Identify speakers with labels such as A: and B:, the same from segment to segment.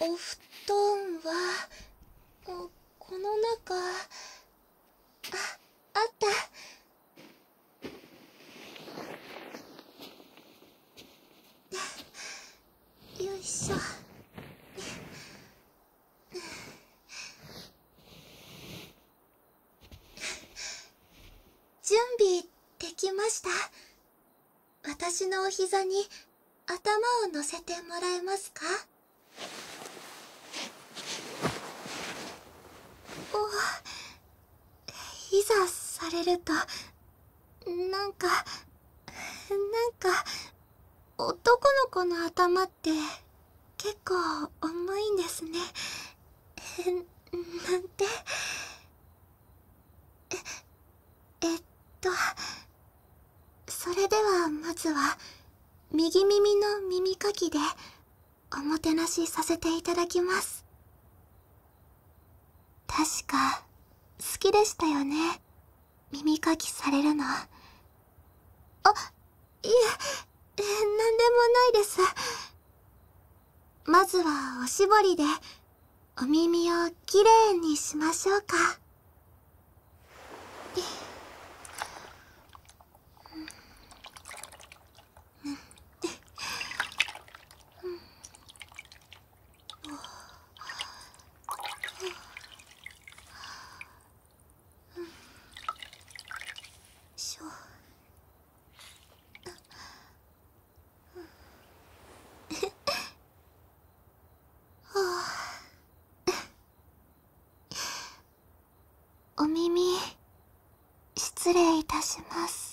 A: お布団はこの中ああったよいしょ準備できました私のお膝に頭を乗せてもらえますかおいざされるとなんかなんか男の子の頭って結構重いんですねなんてええっとそれではまずは右耳の耳かきでおもてなしさせていただきます確か好きでしたよね耳かきされるのあいええ何でもないですまずはおしぼりでお耳をきれいにしましょうか。ん、んん、んしょ…お耳失礼いたします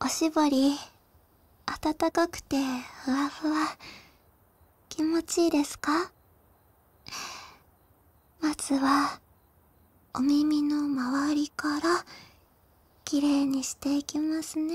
A: おしぼりあたたかくてふわふわきもちいいですかまずはお耳のまわりからきれいにしていきますね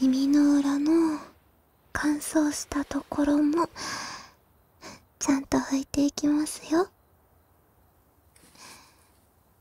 A: 耳の裏の乾燥したところもちゃんと拭いていきますよ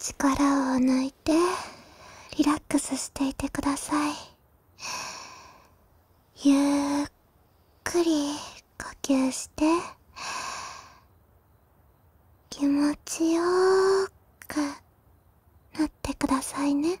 A: 力を抜いてリラックスしていてくださいゆっくり呼吸して気持ちよくなってくださいね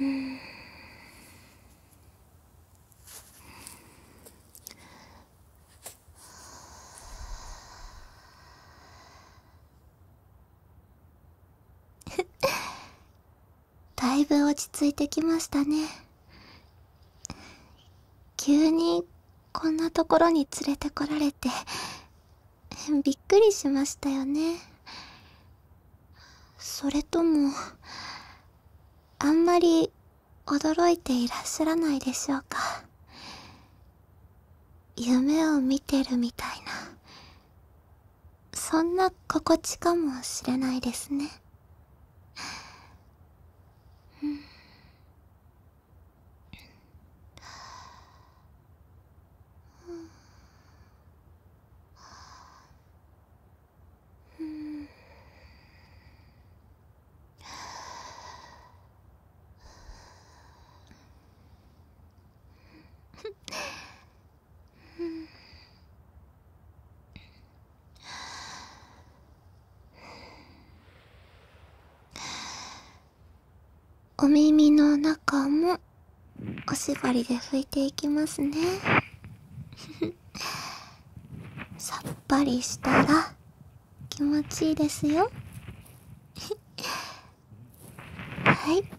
B: うん。
A: だいぶ落ち着いてきましたね急にこんなところに連れてこられてびっくりしましたよねそれともあんまり驚いていらっしゃらないでしょうか夢を見てるみたいなそんな心地かもしれないですねううん。ん。うん。お耳の中もおしぼりで拭いていきますね さっぱりしたら気持ちいいですよ はいん、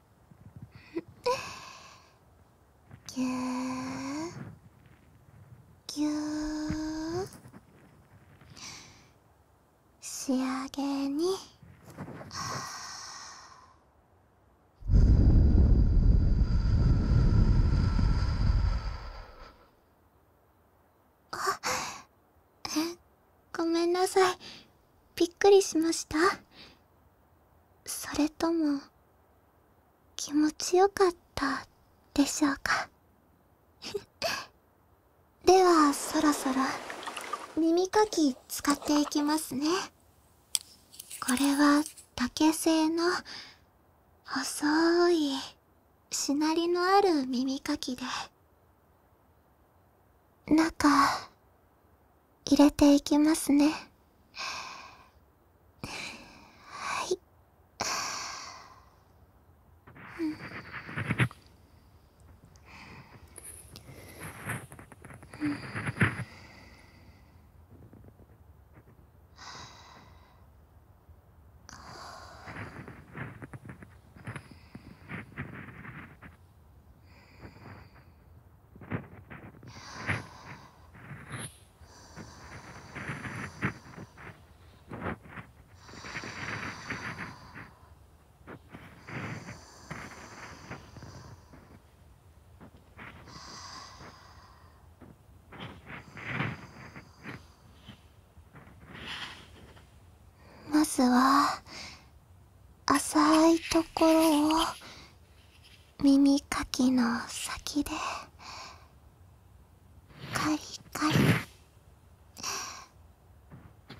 A: ぎゅーぎゅー仕上げにあえごめんなさいびっくりしましたそれとも気持ちよかったでしょうか ではそろそろ耳かき使っていきますねこれは竹製の細いしなりのある耳かきで中入れていきますね。はい。ああ。まずは浅いところを耳かきの先でカリカリ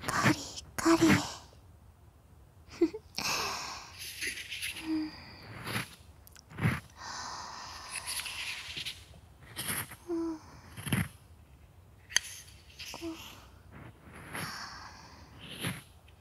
A: カリカリうん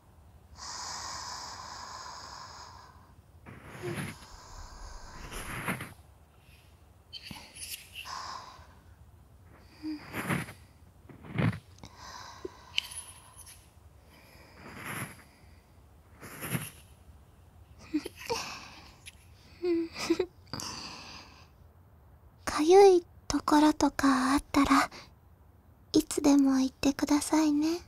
A: かゆいところとかあったらいつでも言ってくださいね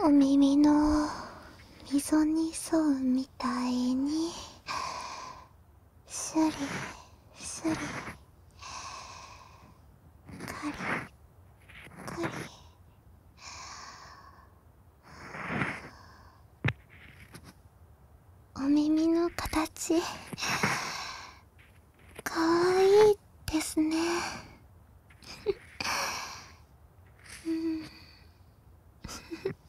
A: お耳の溝に沿うみたいにシュリシュリカリカリお耳の形かわいいですねうん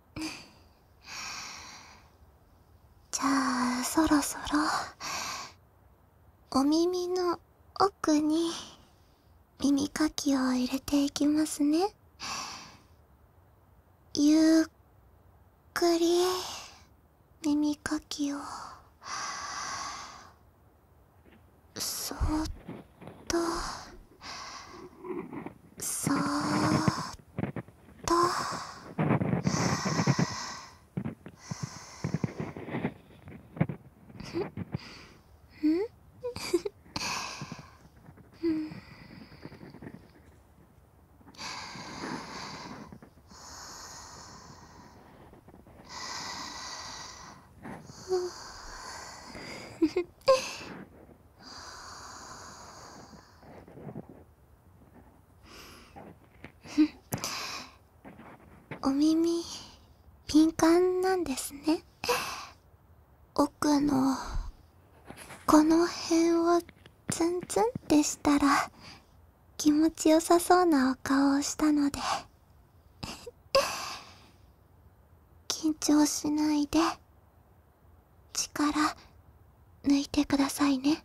A: じゃあそろそろお耳の奥に耳かきを入れていきますねゆっくり耳かきをそっと
B: そっと…と。
A: お耳敏感なんですね奥のこの辺をツンツンってしたら気持ちよさそうなお顔をしたので 緊張しないで力抜いてくださいね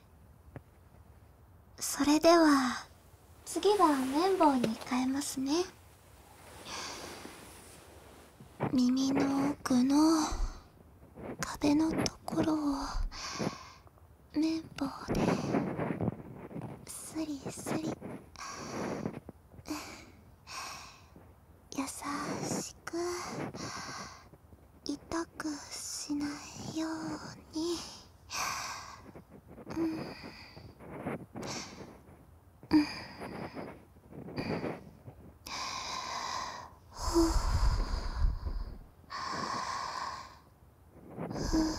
A: それでは次は綿棒に変えますね耳の奥の壁のところを綿棒ですりすり優しく痛くしないように、うんうん、ほうふうふう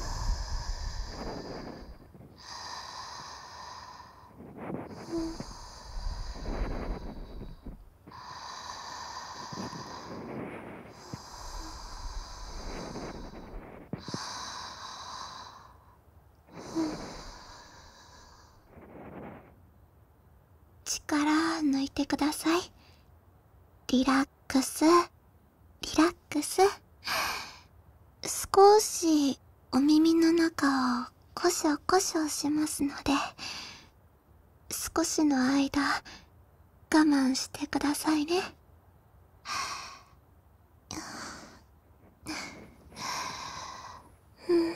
A: 力抜いてくださいリラックスリラックス少しお耳の中をコショコショしますので少しの間我慢してくださいねうん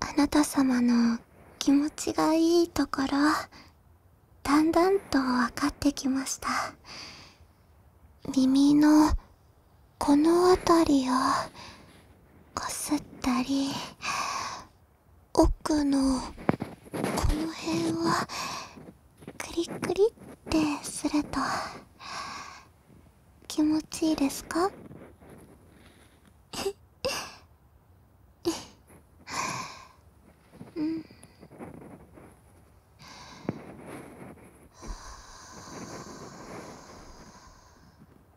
A: あなた様の気持ちがいいところだんだんと分かってきました耳のこの辺りをかすったり奥のこの辺は…クリクリってすると気持ちいいですかうんは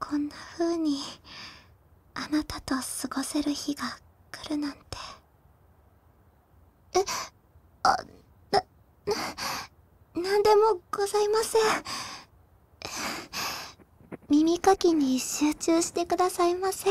A: こんな風にあなたと過ごせる日が来るなんてえあなななんでもございません耳かきに集中してくださいませ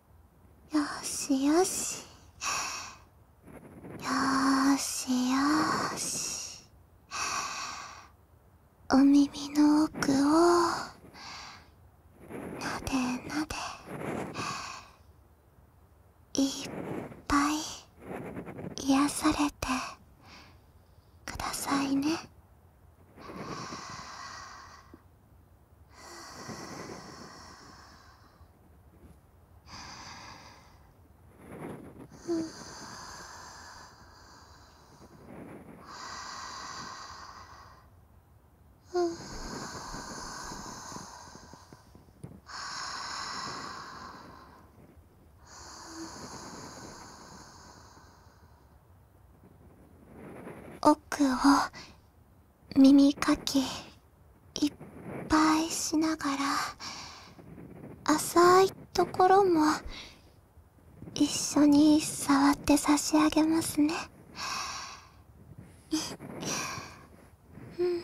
A: よしよしよしよしお耳の奥をなでなでいっぱい癒されてくださいね奥を耳かきいっぱいしながら浅いところも一緒に触って差し上げますねうん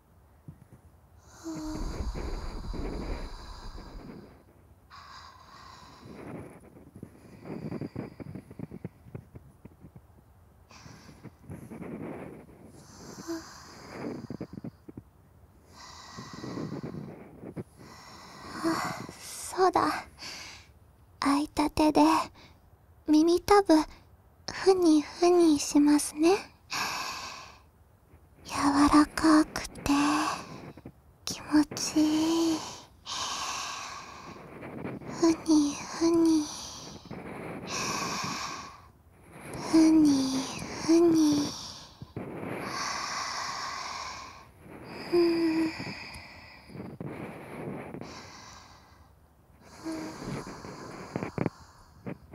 A: はそうだ空いた手で耳たぶふにふにしますね柔らかくて気持ちいいふにふにふにふに
B: うんふ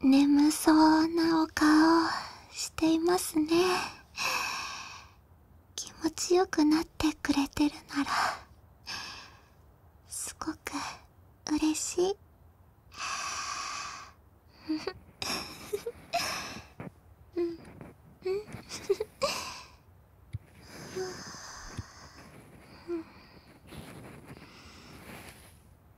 A: 眠そうなお顔していますね気持ちよくなってくれてるならすごく嬉しい
B: うんうんうん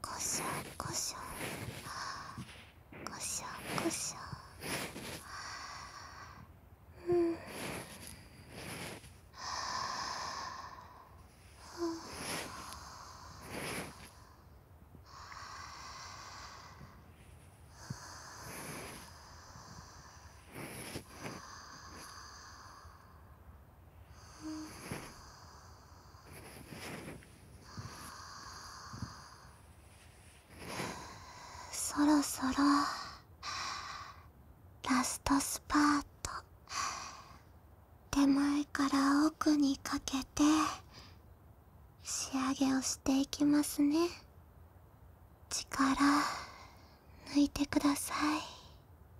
B: こしょこしょこしょこしょうんあ
A: そろそろラストスパート手前から奥にかけて仕上げをしていきますね力抜いてください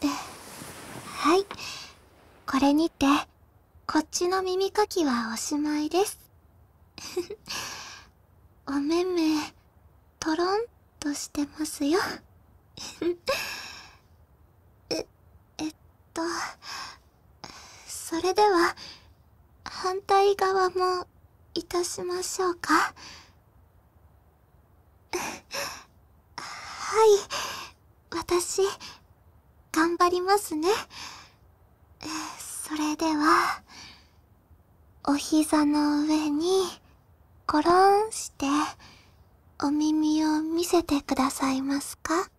A: ではいこれにてこっちの耳かきはおしまいです おめめトロンとしてますよ ええっとそれでは反対側もいたしましょうか はい私頑張りますねそれではお膝の上にコロンしてお耳を見せてくださいますか